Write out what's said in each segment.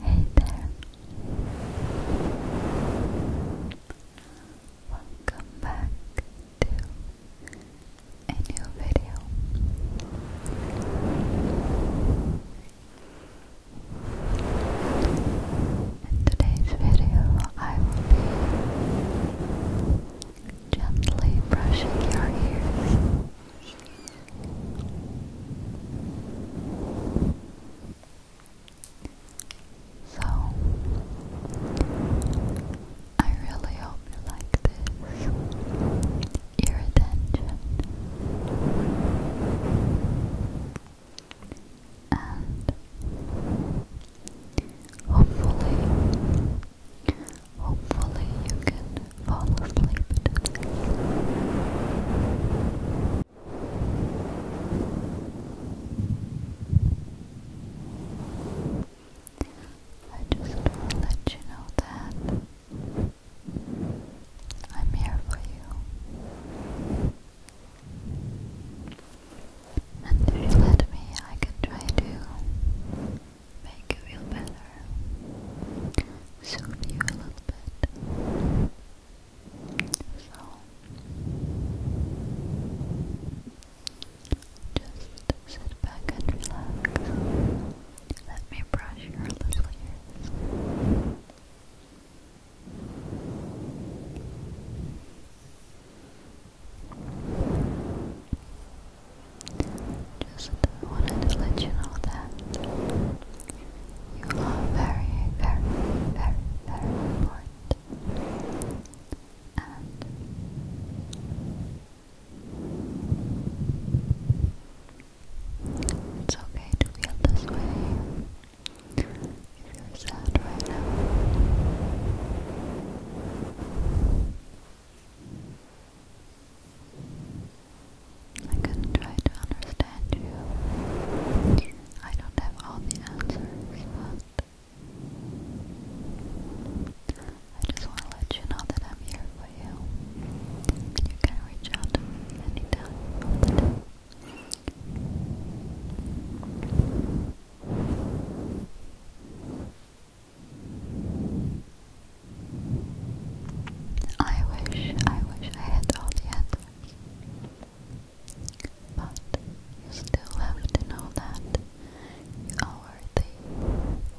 Hey there. Welcome back to a new video. In today's video, I will be gently brushing your ears. So, I really hope you like this. Your attention. And hopefully, Hopefully, you can fall asleep I just want to let you know that I'm here for you. And if you let me, I can try to make you feel better, soothe you a little bit. So just sit back and relax. Let me brush your little ears. Just wanted to let you know that you are very, very, very, very important. And it's okay to feel this way if you're sad right now. I can try to understand you. I don't have all the answers, but I just want to let you know that I'm here for you. You can reach out to me anytime of the day. I wish, I wish I had all the answers. But you still have to know that you are worthy,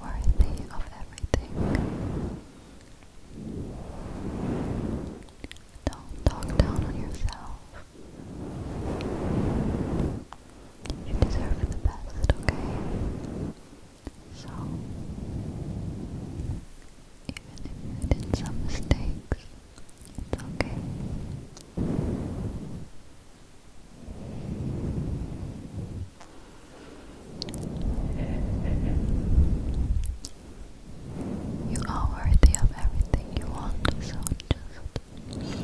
worthy of everything. Don't talk down on yourself. You deserve the best, okay? So, even if you did some mistakes, it's okay. You are worthy of everything you want, so just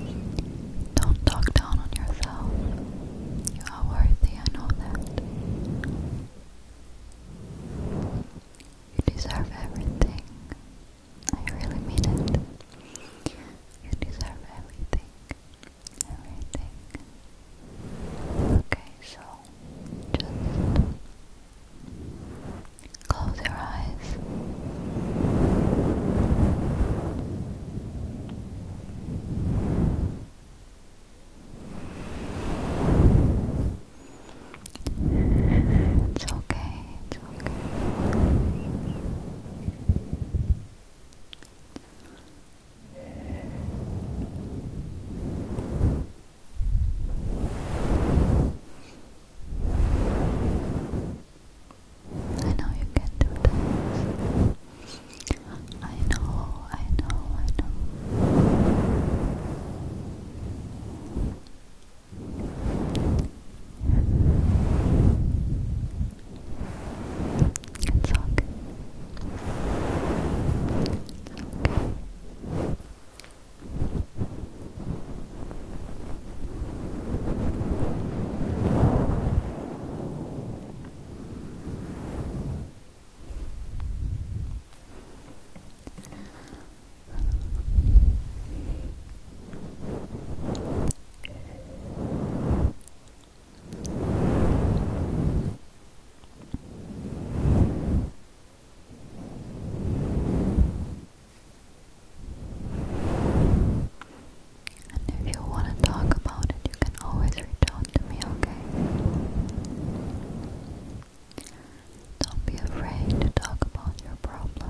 don't talk down on yourself. You are worthy, I know that. You deserve everything. I really mean it. You deserve everything. Everything. Okay, so just close your eyes. It's okay, it's okay. I know you can do this. I know, I know, I know. It's all It's okay. And if you want to talk about it, you can always return to me, okay? Don't be afraid to talk about your problems.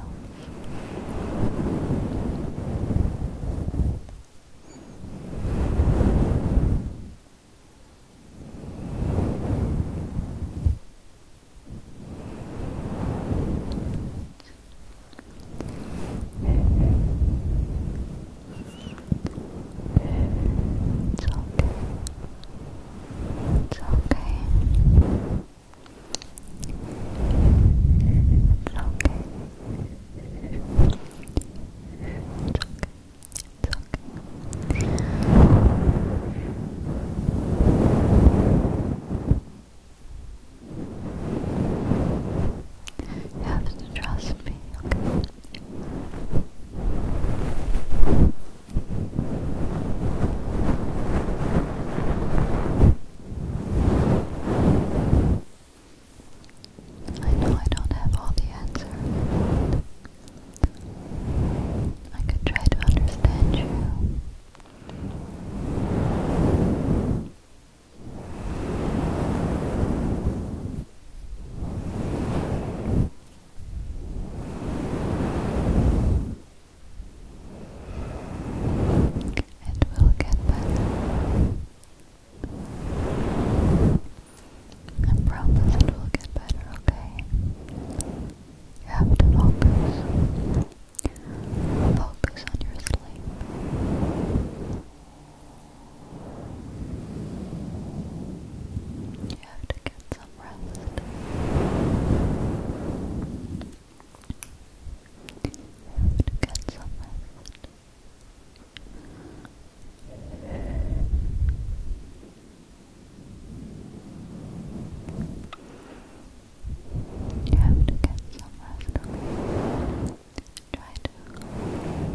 It's okay. It's okay. It's okay. It's okay. It's okay. It's okay. You have to trust me, okay? I know I don't have all the answers. I could try to understand you. It will get better. I promise it will get better, okay? You have to focus. Focus on your sleep. You have to get some rest. You have to get some rest. You have to get some rest, Try to forget everything.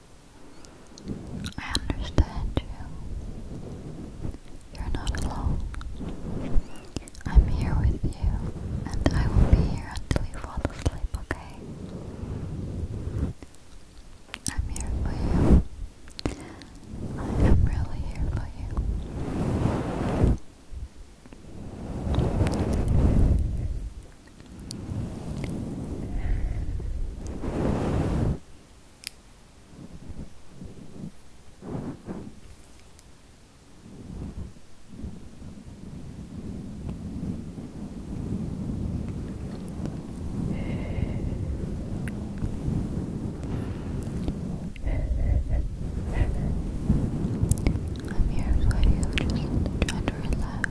I understand you. You're not alone. I'm here with you, and I will be here until you fall asleep, okay? I'm here for you. I am really here for you. I'm you, just trying to relax.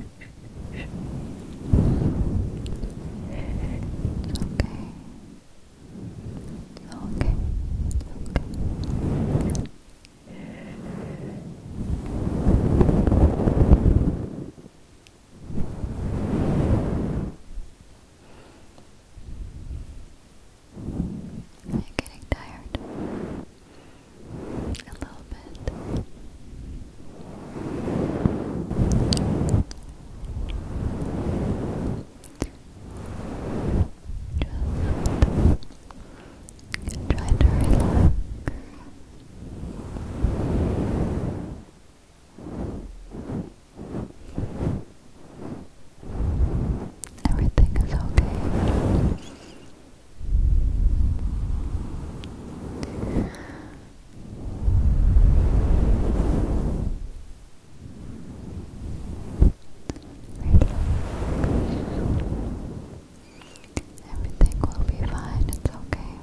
It's okay. It's okay. It's okay. I'm getting tired a little bit. Just try to relax. Everything is okay. Everything will be fine, it's okay.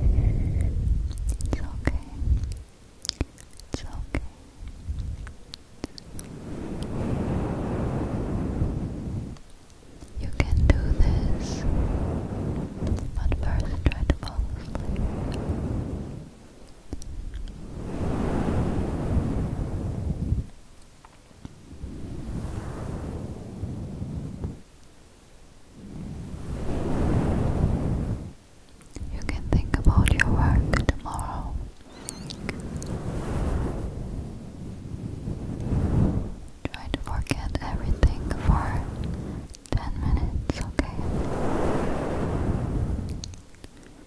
It's okay. It's okay. You can do this, but first try to fall asleep. You can think about your work tomorrow. Try to forget everything for 10 minutes, okay?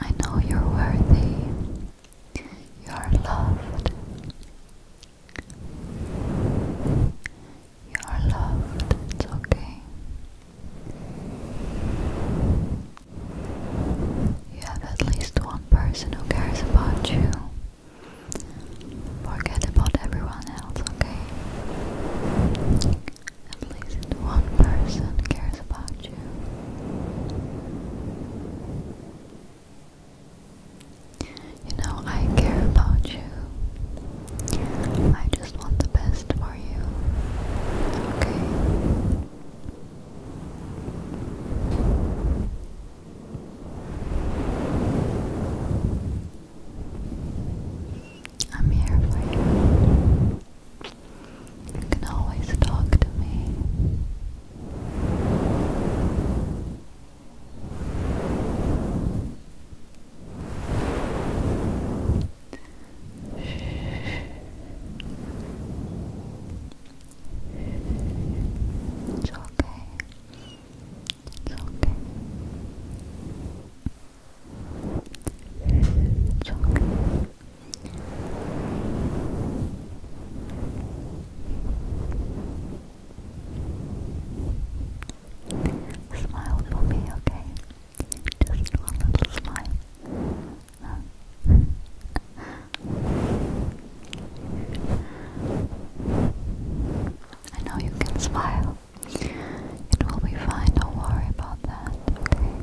I know you're worthy. You are loved. You are loved. It's okay. You have at least one person who cares about you. Forget about everyone else, okay? At least one person cares about you. You know, I care about you. I just want the best for you. Okay? I'm here for you. You can always talk to me. It's okay. It's okay. Smile for me, okay? Just one little smile. I know you can smile. It will be fine, don't worry about that, okay?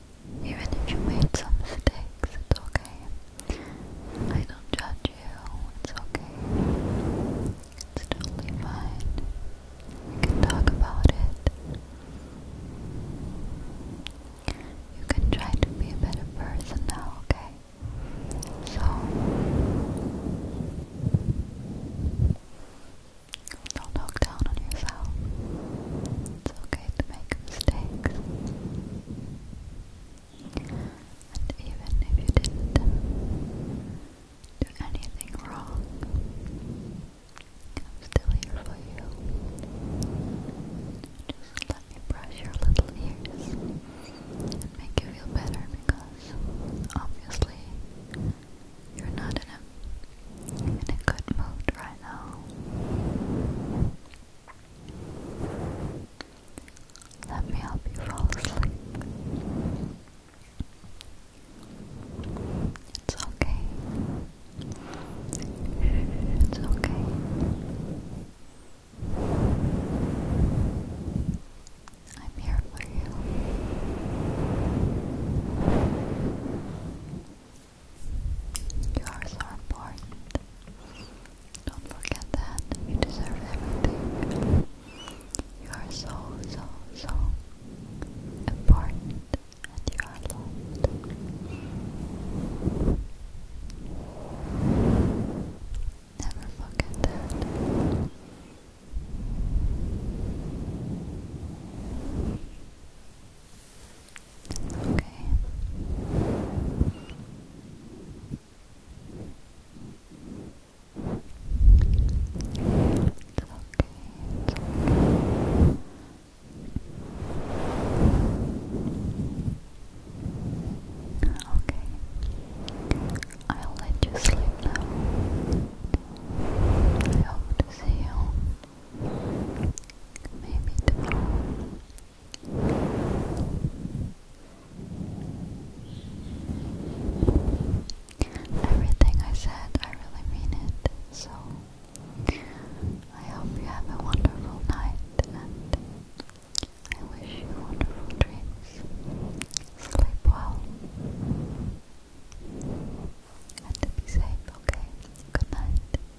Even if you made some mistakes, it's okay. I don't judge you, it's okay. It's totally fine. We can talk about it. You can try to be a better person now, okay? So, don't look down on yourself. It's okay to make mistakes. And even if you didn't do anything wrong, I'm still here for you. Just let me brush your little ears and make you feel better because obviously you're not in a in a good mood right now. Let me help you fall asleep. It's okay. It's okay. I'm here for you. You are so important. Don't forget that. You deserve everything. You are so, so, so important and you are loved. Never forget that. Okay. It's okay. It's okay. Okay. I'll let you sleep now. I hope to see you Maybe tomorrow. Everything I said, I really mean it. So, I hope you have a wonderful night and I wish you wonderful dreams. Sleep well. And be safe, okay? Good night.